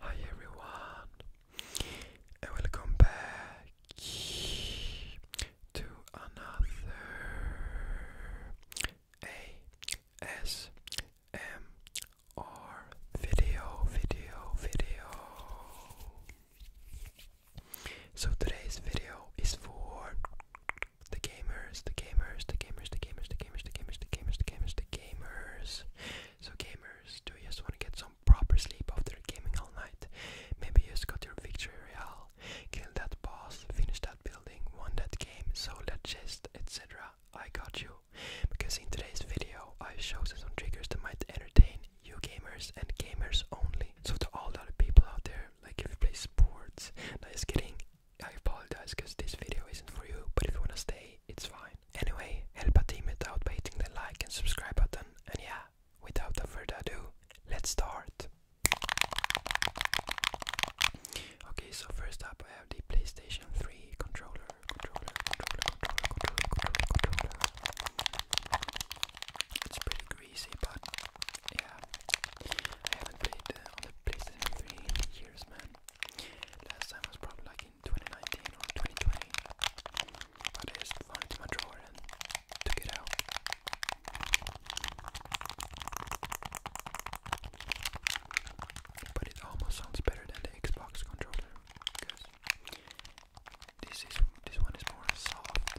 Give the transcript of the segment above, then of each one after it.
Hi everyone, and welcome back to another ASMR video, video, video. So today's video is for the gamers, the gamers, the gamers, the gamers, the gamers, the gamers, the gamers, the gamers, the gamers. So gamers, do you just want to get some proper sleep after gaming all night? Maybe you just got your victory royale, kill that boss, finish that building, won that game, sold that chest, etc. I got you. Because in today's video, I show some triggers that might entertain you gamers and gamers only. So to all the other people out there like if you play sports. No, just kidding. I apologize because this video isn't for you, but if you wanna stay, it's fine. Anyway, help a team out by hitting the like and subscribe button. And yeah, without further ado, let's start. Okay, so first up, I have the PlayStation 3 controller. It's pretty good super but yeah, I haven't played uh, on the PlayStation 3 years, man. Last time was probably in 2019 or 2020, I just found it in my drawer and took it out. But it almost sounds better than the Xbox controller this is this one is more soft.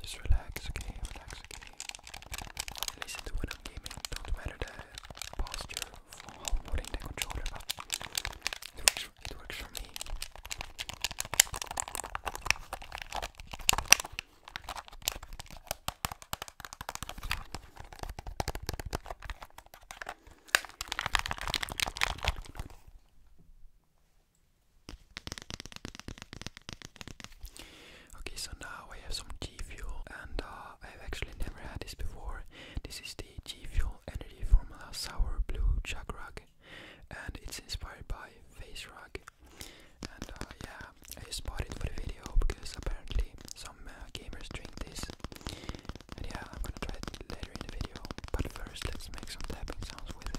Just relax, okay? Relax, okay? Listen to what I'm gaming. Don't matter the posture for holding the controller it works for me. Okay, so now I have some G Fuel, and uh, I've actually never had this before. This is the G Fuel Energy Formula Sour Blue Chakra and it's inspired by face rug. And uh, yeah, I spotted it for the video because apparently some uh, gamers drink this. And yeah, I'm gonna try it later in the video. But first, let's make some tapping sounds with it.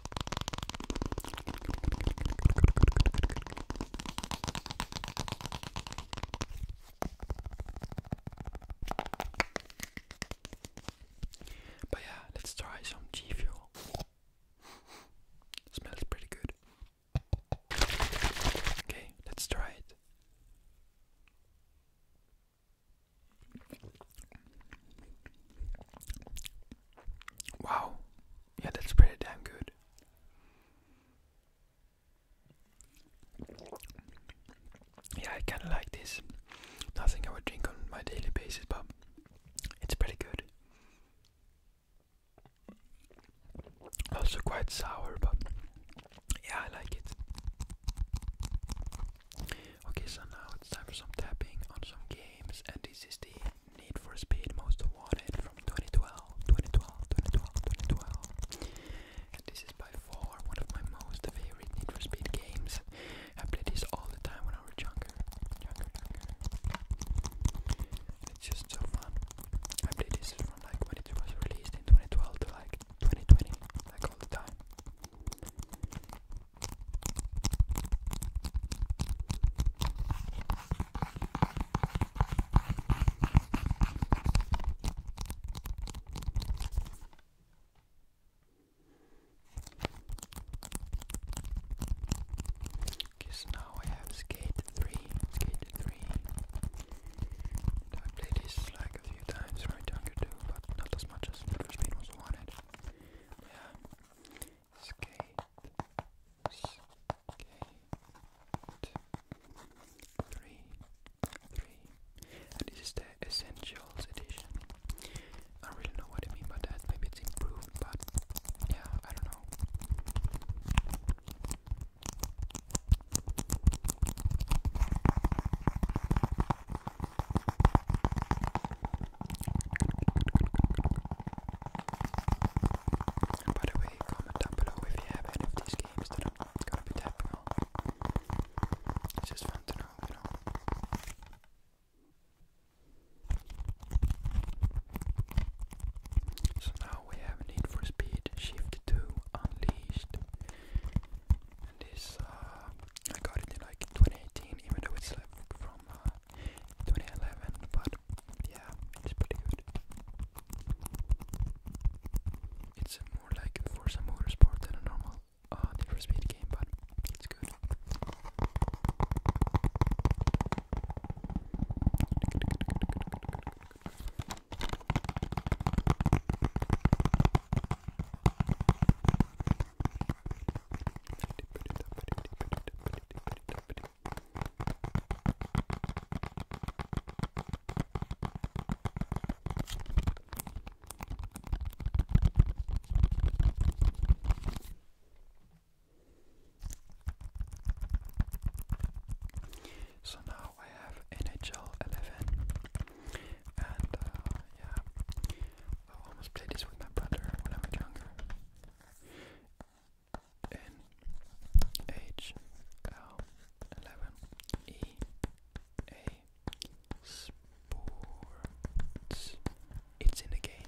But yeah, let's try some G Fuel. Smells pretty good. Okay, let's try it. Wow. Yeah, that's pretty damn good. Yeah, I kind of like this. Nothing I would drink on my daily basis, but it's pretty good. Also quite sour, but yeah, I like it. Okay, so now it's time for some tapping on some games, and this is the Need for Speed Most Wanted from 2012, 2012, 2012, 2012. And this is by far one of my most favorite Need for Speed games. I played this all the time when I was younger. it's just so fun. I played this from like when it was released in 2012 to like 2020, like all the time. Okay, so now I have skate three, skate three. I played this like a few times right on YouTube, but not as much as Murder Speed was wanted. Yeah skate, skate, three, three, and this is the Essentials edition. I really know what I mean by that. Maybe it's improved, but yeah, I don't know by the way, comment down below if you have any of these games that to be It's just fun to know, you know. So now we have Need for Speed Shift 2 Unleashed. And this, uh, I got it in like 2018, even though it's from uh, 2011, but yeah, it's pretty good. It's more like Forza Motorsport than a normal ah uh, different Speed game, but it's good good. So now I have NHL 11, and uh, yeah, I almost played this with my brother when I was younger. N H L eleven E A Sports. It's in the game.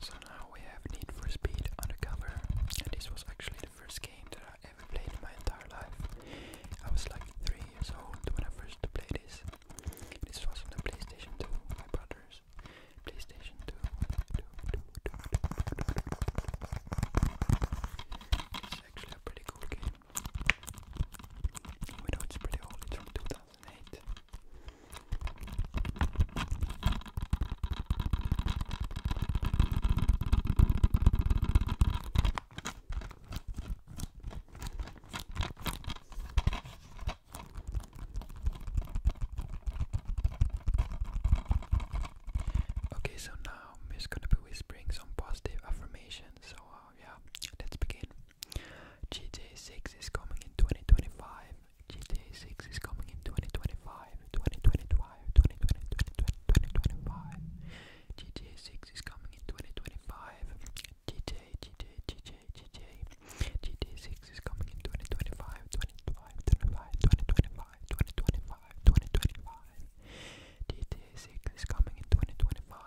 So now we have Need for Speed Undercover, and this was actually the first game that I ever played in my entire life. I was like 3 years old when I first played this. This was on the PlayStation 2, my brother's PlayStation 2, it's actually a pretty cool game. We know it's pretty old, from 2008. Okay, so now um, gonna be whispering some positive affirmations. So uh, yeah, let's begin. GTA 6 is coming in 2025. GTA 6 is coming in 2025. 2025. 2025. 2025. GTA 6 is coming in 2025. GTA, GTA, GTA, GTA. GTA 6 is coming in 2025. 2025. 2025. 2025. 2025, 2025. GTA 6 is coming in 2025.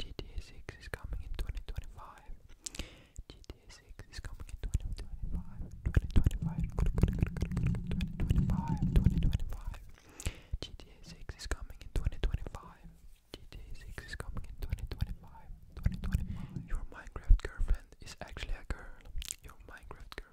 GTA 6 is coming in 2025. GTA 6 is coming in 2025. 2025. 2025. 2025. GTA 6 is coming in 2025. GTA 6 is coming in 2025. 2025. Your Minecraft girlfriend is actually a girl. Your Minecraft girl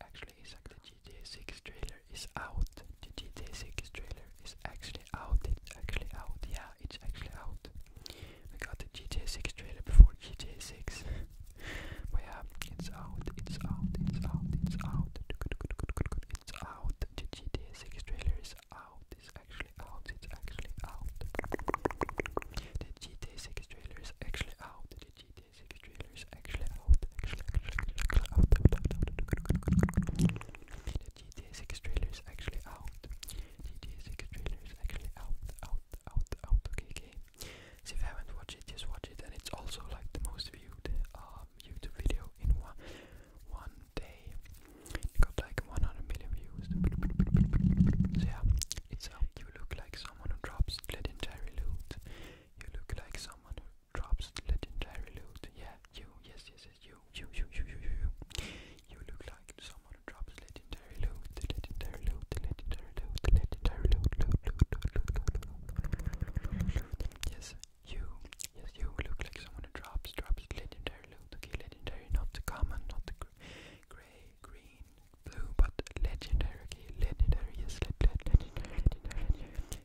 actually is like the GTA 6 trailer is out. The GTA 6 trailer is actually out. It's actually out. Yeah, it's actually out. We got the GTA 6 trailer before GTA 6. but yeah, it's out. It's out. It's out. It's out. It's out. The GTA 6 trailer is out. It's actually out. It's actually out. The GTA 6 trailer is actually out. The GTA Sega trailer is actually out. Actually, actually, actually out. out, out, out. The GTA 6 trailer is actually out. GTA 6 trailer is actually out, out, out, out. Okay, okay. So if you haven't watched it, just watch it. And it's also like the most viewed um, YouTube video in one one day. It got like 100 million views. So yeah, it's out. You look like someone who drops legendary loot. You look like someone who drops legendary loot. Yeah, you, yes, yes, yes, you, you, you, you, you, you, you. You look like someone who drops legendary loot, the legendary loot, legendary loot, the legendary loot, loot, loot, loot, loot, loot, loot. Yes, you, yes, you look like someone who drops, drops legendary loot. legendary, not the common, not the gray, green, blue, but legendary, legendary, yes, legendary, legendary, legendary.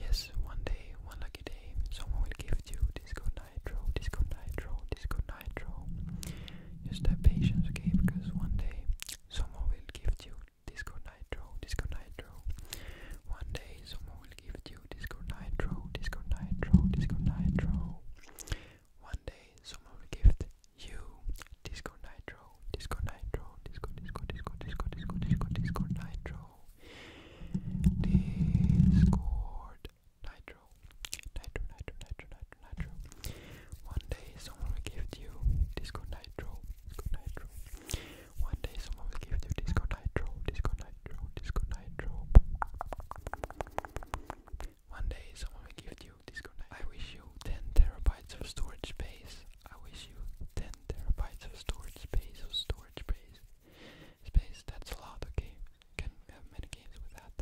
Yes, one day, one lucky day, someone will give you disco nitro, disco nitro, disco nitro. Just have patience, okay? Because one day, someone will give you disco nitro, disco nitro. One day, someone will give you disco nitro, disco nitro, disco nitro. One day, someone will give you disco nitro, Disco Nitro, Disco, Disco, Disco, Disco, Disco, Disco, Disco Nitro, Discord Nitro, Nitro, Nitro, Nitro, Nitro, Nitro. One day someone will give you Disco Nitro, Disco Nitro. One day someone will give you Disco Nitro, Disco Nitro, Disco Nitro. One day someone will give you Disco Nitro. I wish you 10 terabytes of storage space. I wish you 10 terabytes of storage space, of storage space, space, that's a lot, okay, can have many games with that,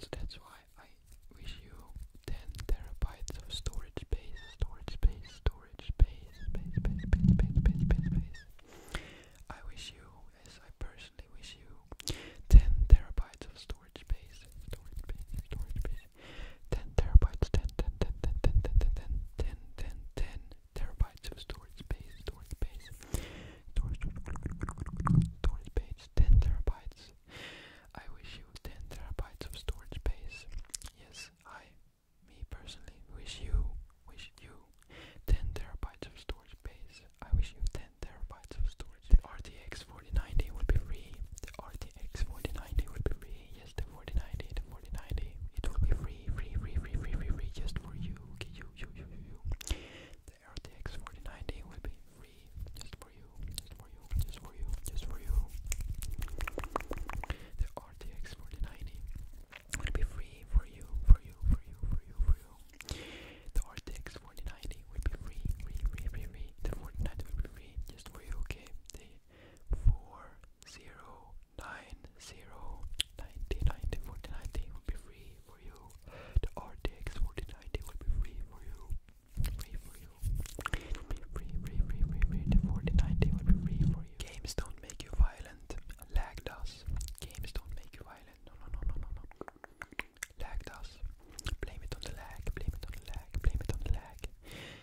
so that's why I wish you 10 terabytes of storage space, storage space, storage space, space, space, space, space, space, I wish you, as I personally wish you, 10 terabytes of storage space, storage space, storage space, 10 terabytes, 10, terabytes of storage space, storage space, storage, storage space, 10 terabytes. I wish you 10 terabytes of storage space. Yes, I, me personally, wish you, wish you 10 terabytes of storage space. I wish you 10 terabytes of storage. The RTX 4090 will be free. The RTX 4090 will be free. Yes the 4090, the 4090, it will be free, free, free, free, free, free, just for you, okay, you, you, you, you, you. The RTX 4090 will be free, just for you, just for you, just for you, just for you. The RTX 4090 will be free free, free, free, free, The 4090 will be free, just for you, okay? four zero nine zero ninety ninety forty ninety will be free for you. The RTX forty ninety will be free for you. Free for you. will be free, free, free, free, free. The forty ninety will be free for you. Games don't make you violent. Lag does. Games don't make you violent. No, no, no, no, no, no. Lag does. Blame it on the lag. Blame it on the lag. Blame it on the lag.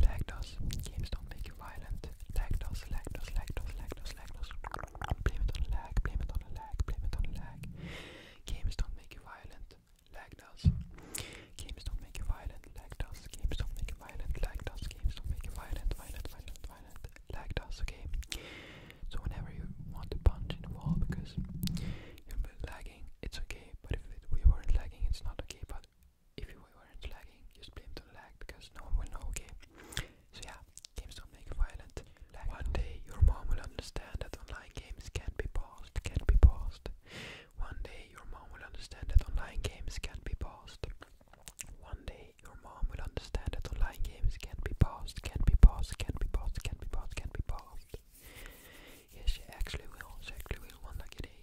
Lactose. Games don't make you violent. Lactose, lactose, lactose, lactose, lactose. Blame it on lag, blame it on a lag, blame it on a lag. Games don't make you violent. Lactose. Games don't make you violent. Lactose. Games don't make you violent. Lactose. Games don't make you violent. Violent, violent, violent. Lactose, okay? So whenever you want to punch in the wall because you're lagging, it's okay. But if it, we weren't lagging, it's not okay. But if you were lagging, just blame the lag because no one will know, okay? So yeah, games don't make violent. One day your mom will understand that online games can't be paused, can't be paused. One day your mom will understand that online games can't be paused. One day your mom will understand that online games can't be paused, can't be paused, can't be paused, can't be paused, can't be paused. Yes, she actually will, actually will one lucky day.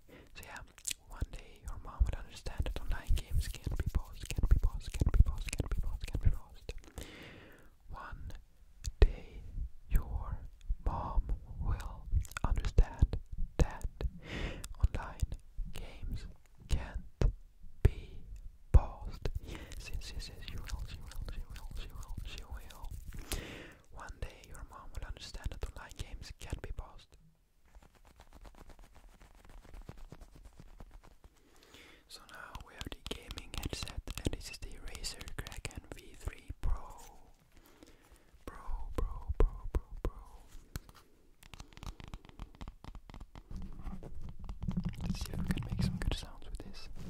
So yeah, one day your mom would understand that online games can't be paused, can't be paused, can't be paused, can't be paused, can't be paused. One day your mom will understand that online games can't be paused. Yes, yes, yes, she will, she will, she will, she will, she will. One day your mom will understand that online games can be paused. So now we have the gaming headset and this is the Razer Kraken V3 Pro. Pro, pro, pro, pro, pro. Let's see if we can make some good sounds with this. Wait.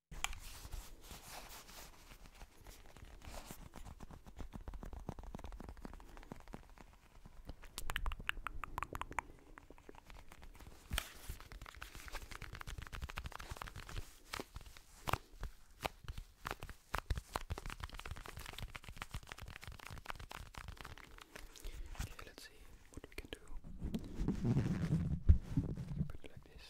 Okay, let's see what we can do. Put it like this.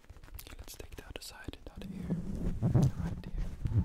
Okay, let's take the other side, the other ear, the right ear.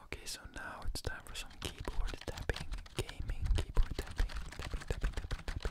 Okay, so now it's time for some keyboard tapping, gaming keyboard tapping, tapping, tapping, tapping, tapping.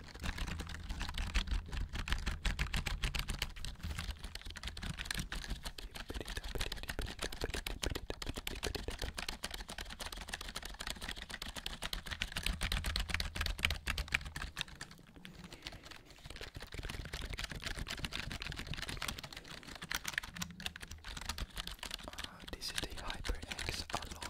Uh, this is the HyperX Alone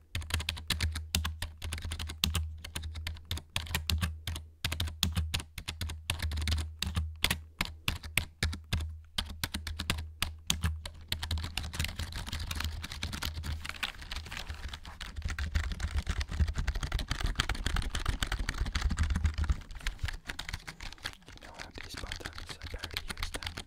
I know how these buttons, I barely use them.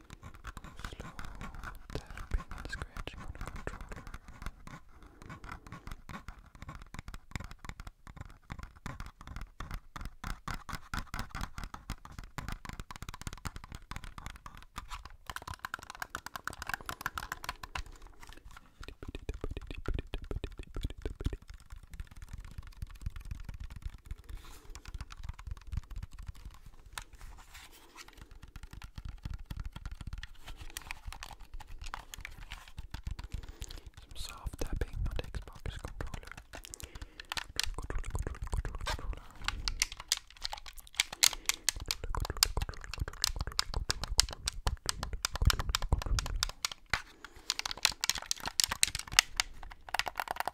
Slow tapping and scratching on a controller. Some soft tapping on the Xbox controller. Controller, controller, controller, controller. Controller, controller, controller, controller, controller.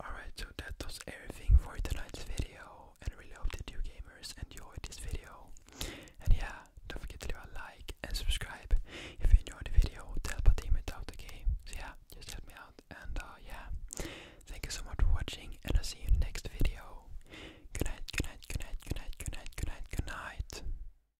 Alright, so that was everything for tonight's video, and I really hope that you gamers enjoyed this video. And yeah, don't forget to leave a like and subscribe if you enjoyed the video. Tell Fatima about the game. So yeah, just help me out. And uh, yeah, thank you so much for watching, and I'll see you in the next video. Good night, good night, good night, good night, good night, good night, good night.